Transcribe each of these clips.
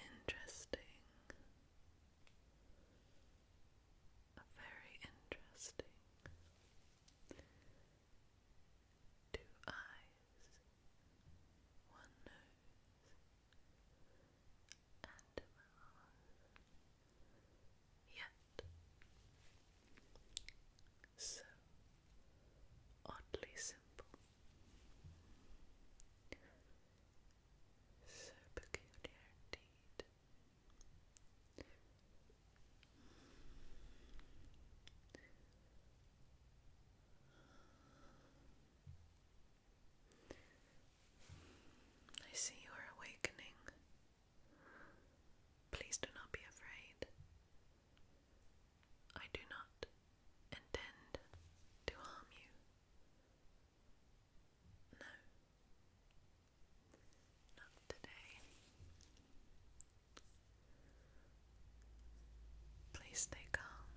Interesting. Very interesting. Two eyes, one nose, and a mouth. Yet so oddly simple. So peculiar indeed. I see you are awakening. Please do not be afraid. I do not intend to harm you. No, not today. Please stay calm.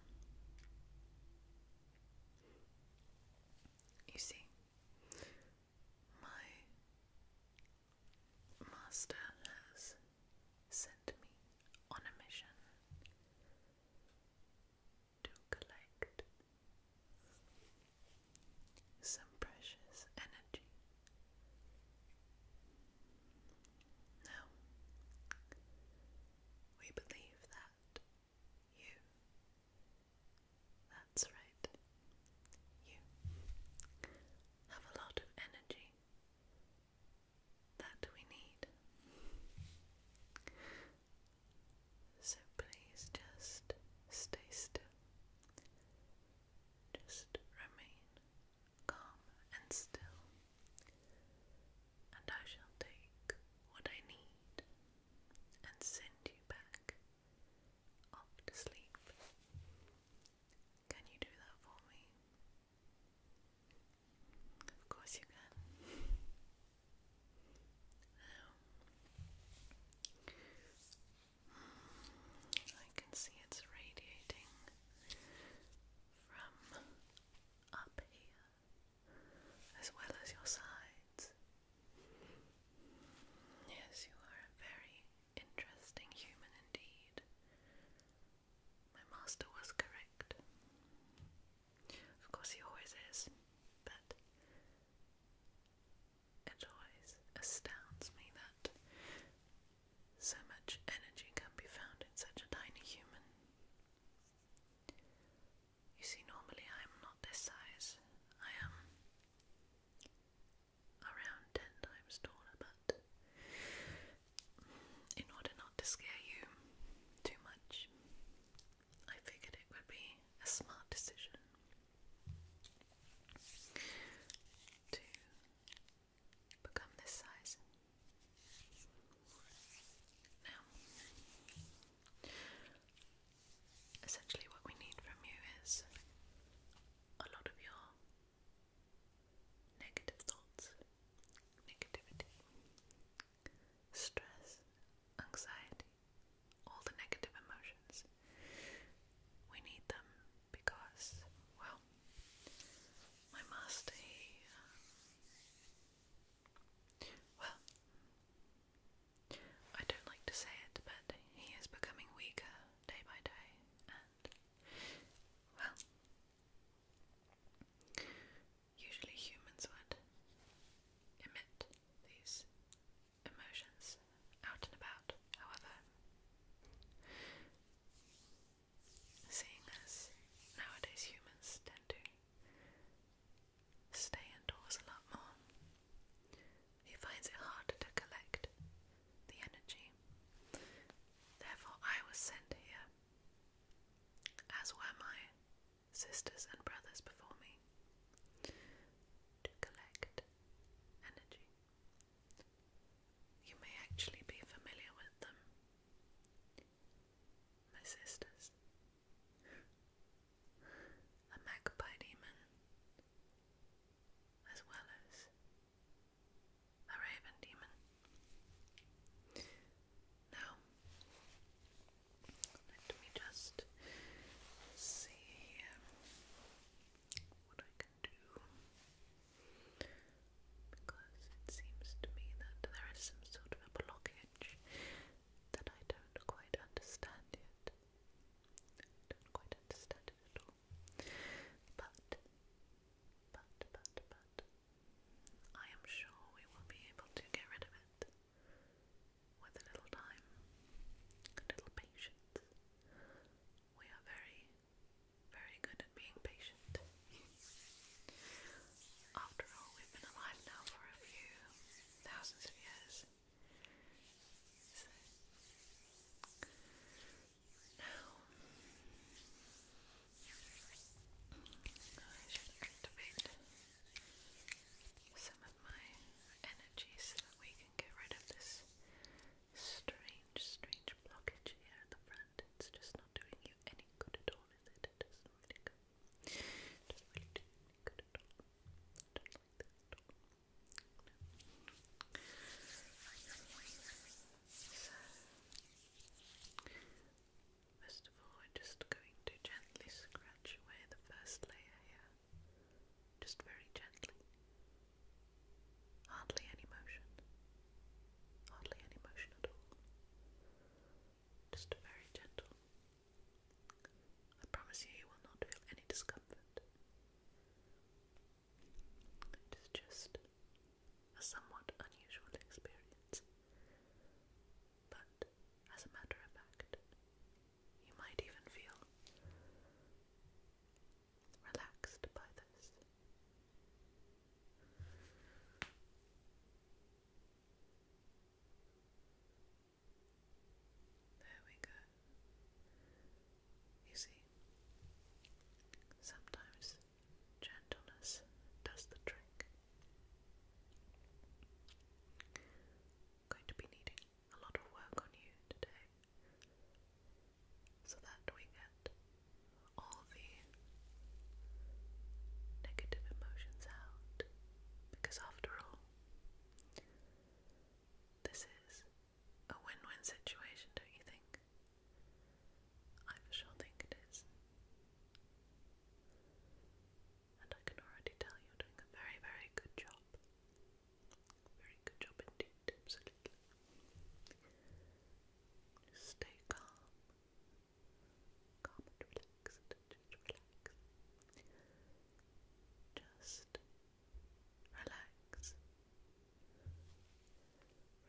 You see, my Master has sent me on a mission to collect some precious energy. Now, we believe that you, that's right, inside. You have a lot of energy that we need. So please just stay still. Just remain calm and still, and I shall take what I need and send you back off to sleep. Can you do that for me? Of course you can. I can see it's radiating from up here as well as your sides. Yes, you are very interesting human indeed. My master was correct. Of course, he always is, but it always astounds me that so much energy can be found in such a tiny human. You see, normally I am not this size. I am around 10 times taller, but in order not to scare you too much, I figured it would be a smart decision to become this size. Now, essentially, what we need from you is a lot of your negative thoughts, negativity, stress, anxiety, all the negative emotions. We need them because, well, my master, uh, well, I don't like to say it, but he is becoming weaker day by day, and well, usually humans would emit these emotions out and about, however, seeing as nowadays humans tend to stay indoors a lot more. He finds it harder to collect the energy. Therefore, I was sent here, as were my sisters and brothers before me, to collect energy. You may actually be familiar with them, my sisters. A magpie demon as well as a raven demon. Now, let me just see what I can do because it seems to me that there is some sort of a blockage that I don't quite understand yet. Don't quite understand at all. But, but, but, but, I am sure we will be able to get rid of it with a little time, a little patience. We are very, very good at being patient. After all, we've been alive now for a few thousands of years. So, now, I should activate some of my energy so that we can get rid of this strange, strange blockage here at the front. It's just not doing you any good at all, is it? It not really go. It does really good at all. So, first of all, we're just going to gently scratch away the first layer here, just very gently. Hardly any motion, hardly any motion at all. Just very gentle. I promise you, you will not feel any discomfort. It is just a somewhat unusual experience. But, as a matter of fact, you might even feel relaxed by this. There we go. You see, sometimes gentleness does the trick. going to be needing a lot of work on you today so that we get all the negative emotions out because after all this is a win win situation, don't you think? I for sure think it is. And I can already tell you're doing a very, very good job. Very good job indeed, absolutely. stay calm, calm and relaxed. Just relax.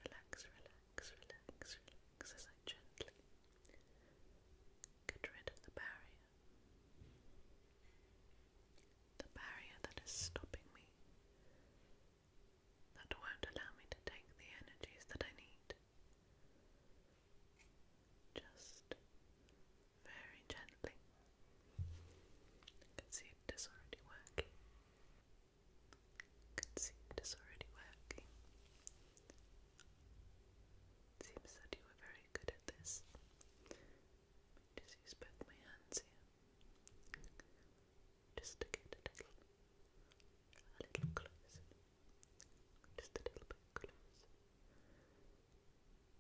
Relax, relax, relax, relax as I gently get rid of the barrier. The barrier that is stopping me, that won't allow me to take the energies that I need. Just very gently. can see it is already working. can see it is already working. seems that you were very good at this. just use both my hands here. Just a little a little closer. Just a little bit closer.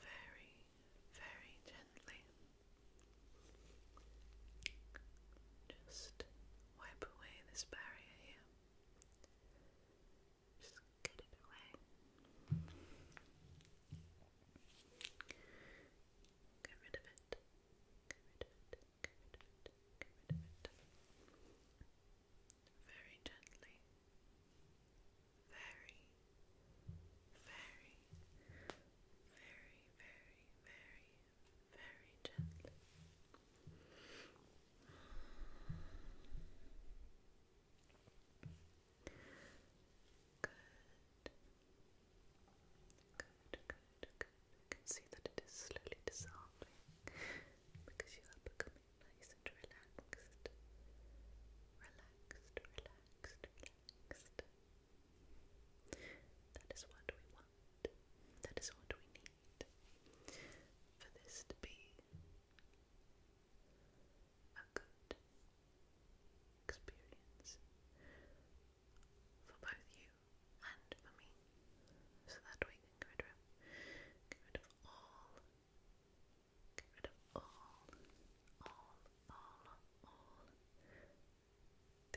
very, very gently. Just wipe away this barrier here. Just get it away. Get rid of it. Get rid of it. Get rid of it. Get rid of it very gently, very, very, very, very, very, very gently. Good. Good, good, good. You can see that it is slowly dissolving because you are becoming nice and relaxed. Relaxed, relaxed, relaxed. That is what we want. That is what we need. For this to be a good experience for both you and for me, so that we can get rid of, get rid of all Get rid of all, all, all, all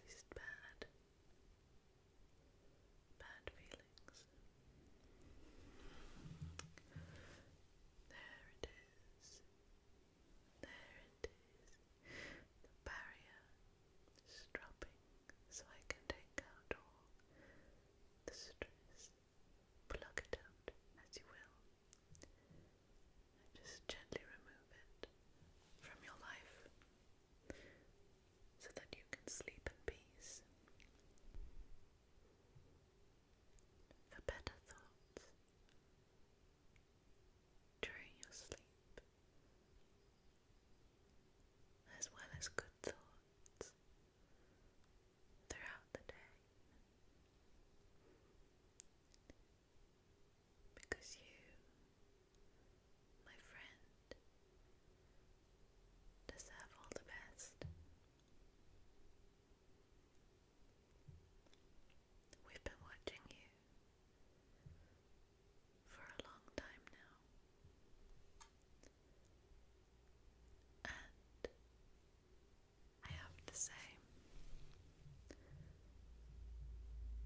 these bad, bad feelings. There it is. There it is. The barrier dropping so I can take out all the stress pluck it out as you will. just gently remove it from your life so that you can sleep in peace. For better thoughts during your sleep, as well as good thoughts throughout the day because you, my friend, deserve all the best. We've been watching you for a long time now. And I have to say,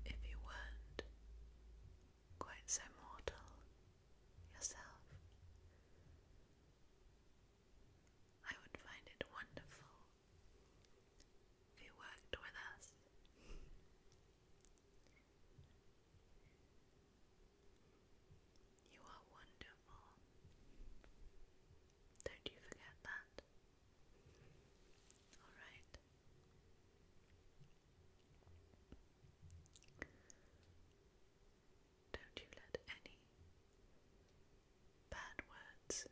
if you weren't quite so mortal yourself, I would find it wonderful if you worked with us. You are wonderful. Don't you forget that. Alright. Don't you let any bad words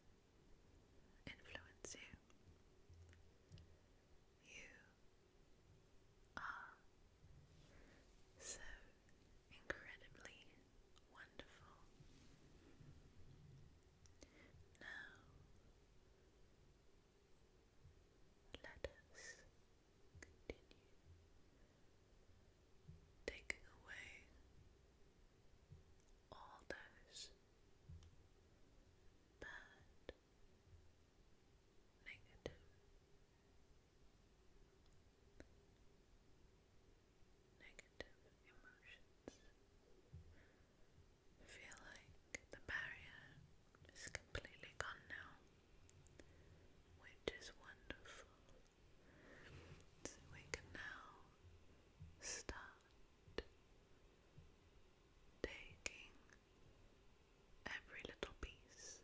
influence you. You are so incredibly wonderful. Now, let us continue taking away all those bad, negative negative emotions. feel like the barrier is completely gone now, which is wonderful. we can now start taking every little piece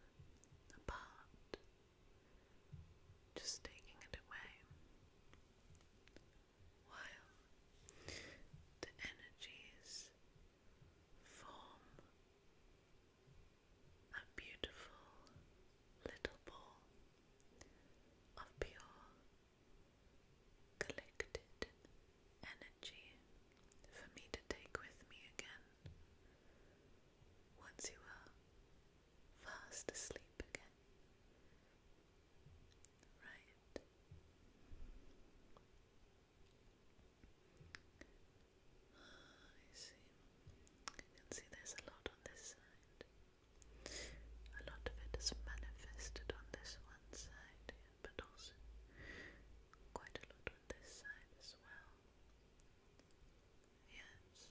apart, just taking it away, while the energies form a beautiful little ball of pure collected energy for me to take with me again once you are fast asleep again. Right. I see. You can see there's a lot on this side. A lot of it is manifested on this one side, but also quite a lot on this side as well. Yes.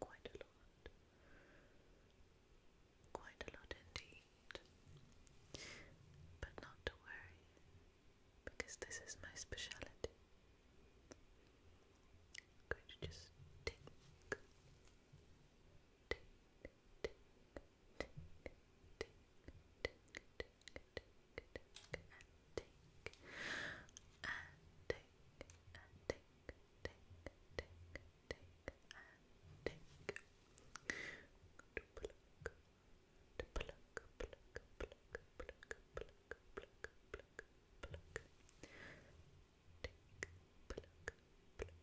Quite a lot. Quite a lot indeed. But not to worry, because this is my speciality. going to just tick, tick, tick, tick, tick, tick, tick, tick, tick, and tick, and tick, and tick, tick, tick, tick, and tick. Pluck, pluck, pluck, pluck, pluck, pluck, pluck, pluck, pluck. Tick, pluck, pluck, pinch,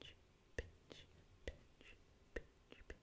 pinch, pinch, pinch, pinch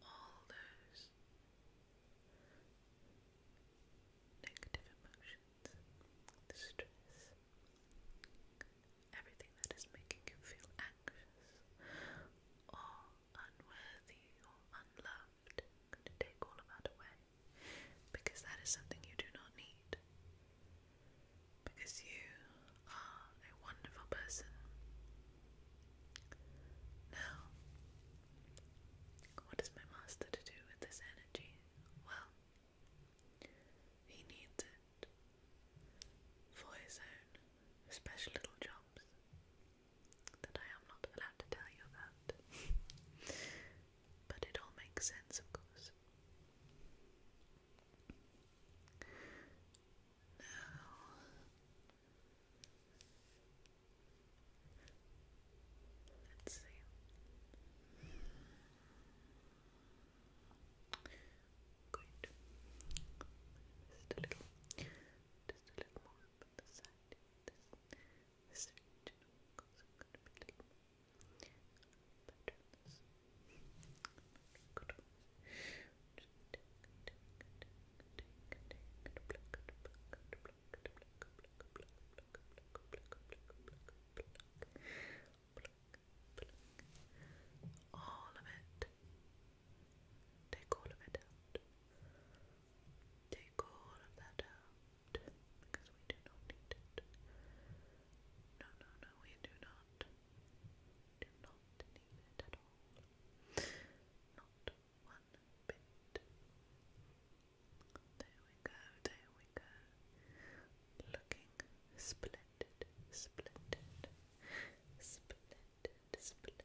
all those negative emotions, the stress, everything that is making you feel anxious or unworthy or unloved, I'm going to take all of that away because that is something you do not need. Because you are a wonderful person now, what is my master to do with this energy? Well, he needs it for his own special little jobs that I am not allowed to tell you about. but it all makes sense, of course. Now, Let's see. Good. Just a little, just a little more up on the side. This, this region goes going to be a little better. This. Good. All of it. Take all of it out. Take all of that out because we do not need it. No, no, no, we do not. Do not need it at all not one bit. There we go, there we go. Looking splendid, splendid, splendid, splendid.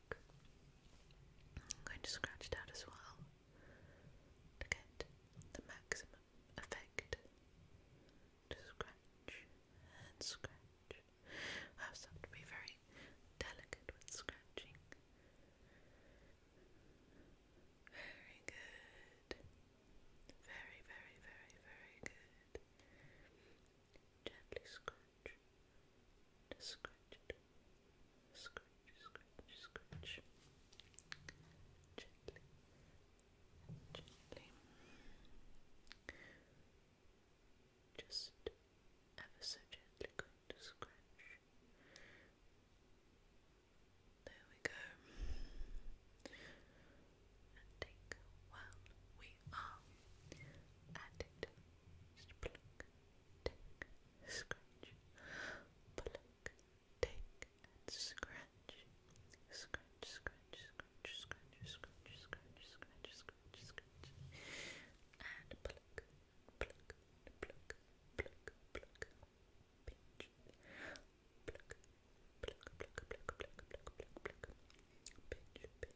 I'm going to scratch it out as well to get the maximum effect. To scratch and scratch. I have to be very delicate with scratching. Very good. Very, very, very, very good. Gently scratch scratch Scratch, scratch, Gently, gently. Just ever so gently going to scratch. There we go. And take a while. We are at it. Just pluck, scratch, pluck, take, and scratch, scratch, scratch, scratch, scratch, scratch, scratch, scratch, scratch, scratch, and pluck, pluck, pluck, pluck, pluck, pinch, pluck, pluck, pluck, pluck, pluck, pluck, pluck, pinch, pinch,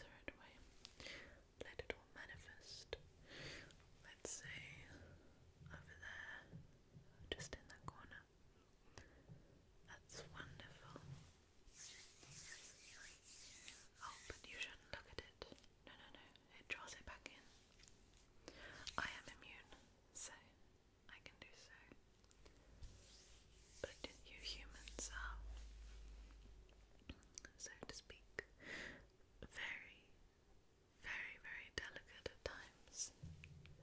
third way. Let it all manifest. Let's say over there, just in that corner. That's wonderful. Oh, but you shouldn't look at it. No, no, no. It draws it back in. I am immune, so I can do so. But you humans are so to speak, very, very, very delicate at times.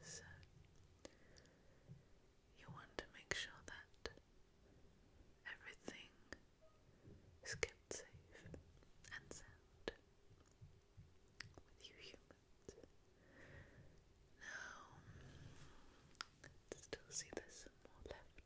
So, you want to make sure that everything is kept safe and sound with you humans. Now, still see there's some more left.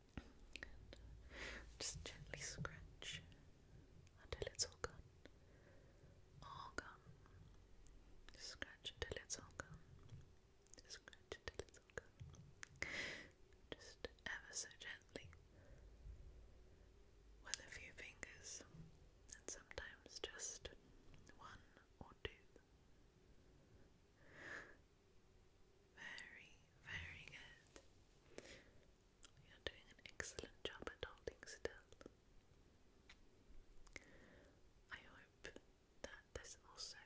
just gently scratch until it's all gone. All gone. Scratch until it's all gone. Scratch until it's all gone. Just ever so gently with a few fingers, and sometimes just one or two. Very, very good. You're doing an excellent job at holding still. I hope that this also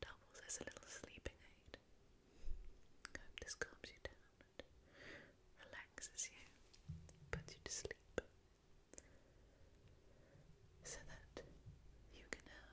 doubles as a little sleeping aid. I hope this calms you down relaxes you, puts you to sleep, so that you can have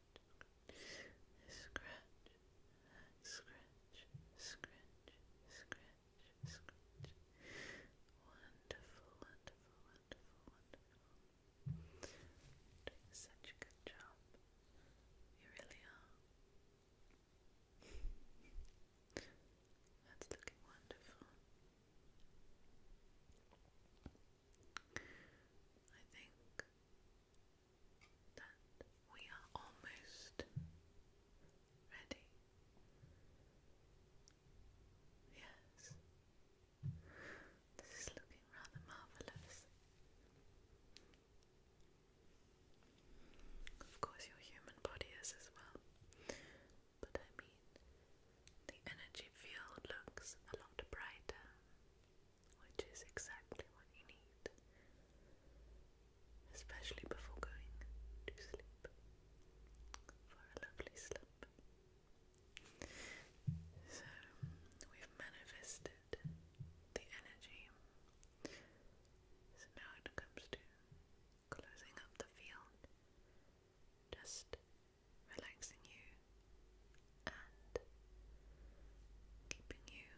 scratch, scratch, scratch, scratch, scratch. Wonderful, wonderful, wonderful, wonderful. such good job. You really are. That's looking wonderful. I think that we are almost ready. Yes, this is looking rather marvellous. Of course, your human body is as well, but I mean, the energy field looks a lot brighter which is exactly what you need, especially before going to sleep for a lovely slump. So, we've manifested the energy. So now it comes to closing up the field, just relaxing you and keeping you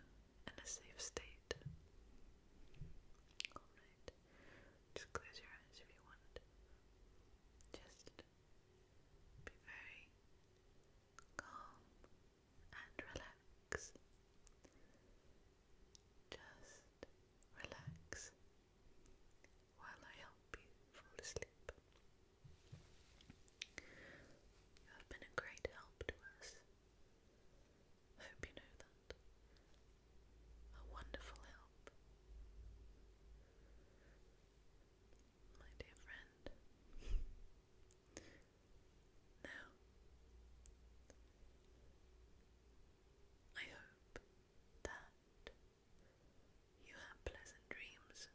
in a safe state. Alright, just close your eyes if you want. Just be very calm and relax. Just relax while I help you fall asleep. You have been a great help to us. I hope you know that. A wonderful help. My dear friend. now, I hope that you have pleasant dreams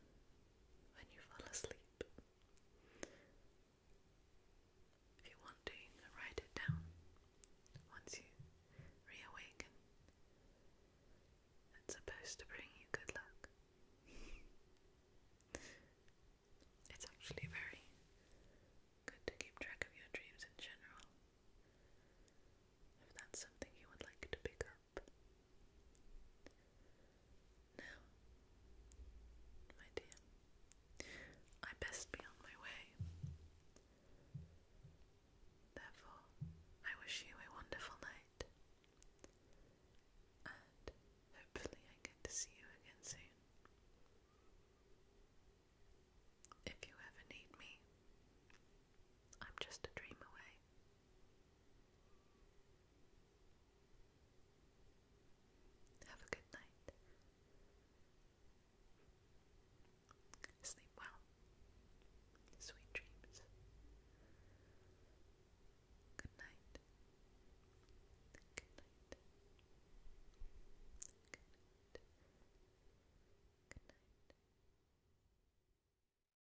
when you fall asleep. If you want to, write it down once you reawaken. It's supposed to bring you good luck. it's actually very good to keep track of your dreams in general. If that's something you would like to pick now, my dear, I best be on my way. Therefore, I wish you a wonderful night, and hopefully, I get to see you again soon. If you ever need me, I'm just a dream away. Have a good night. Sleep well. Sweet dreams. Good night. Good night. Good night. Good night.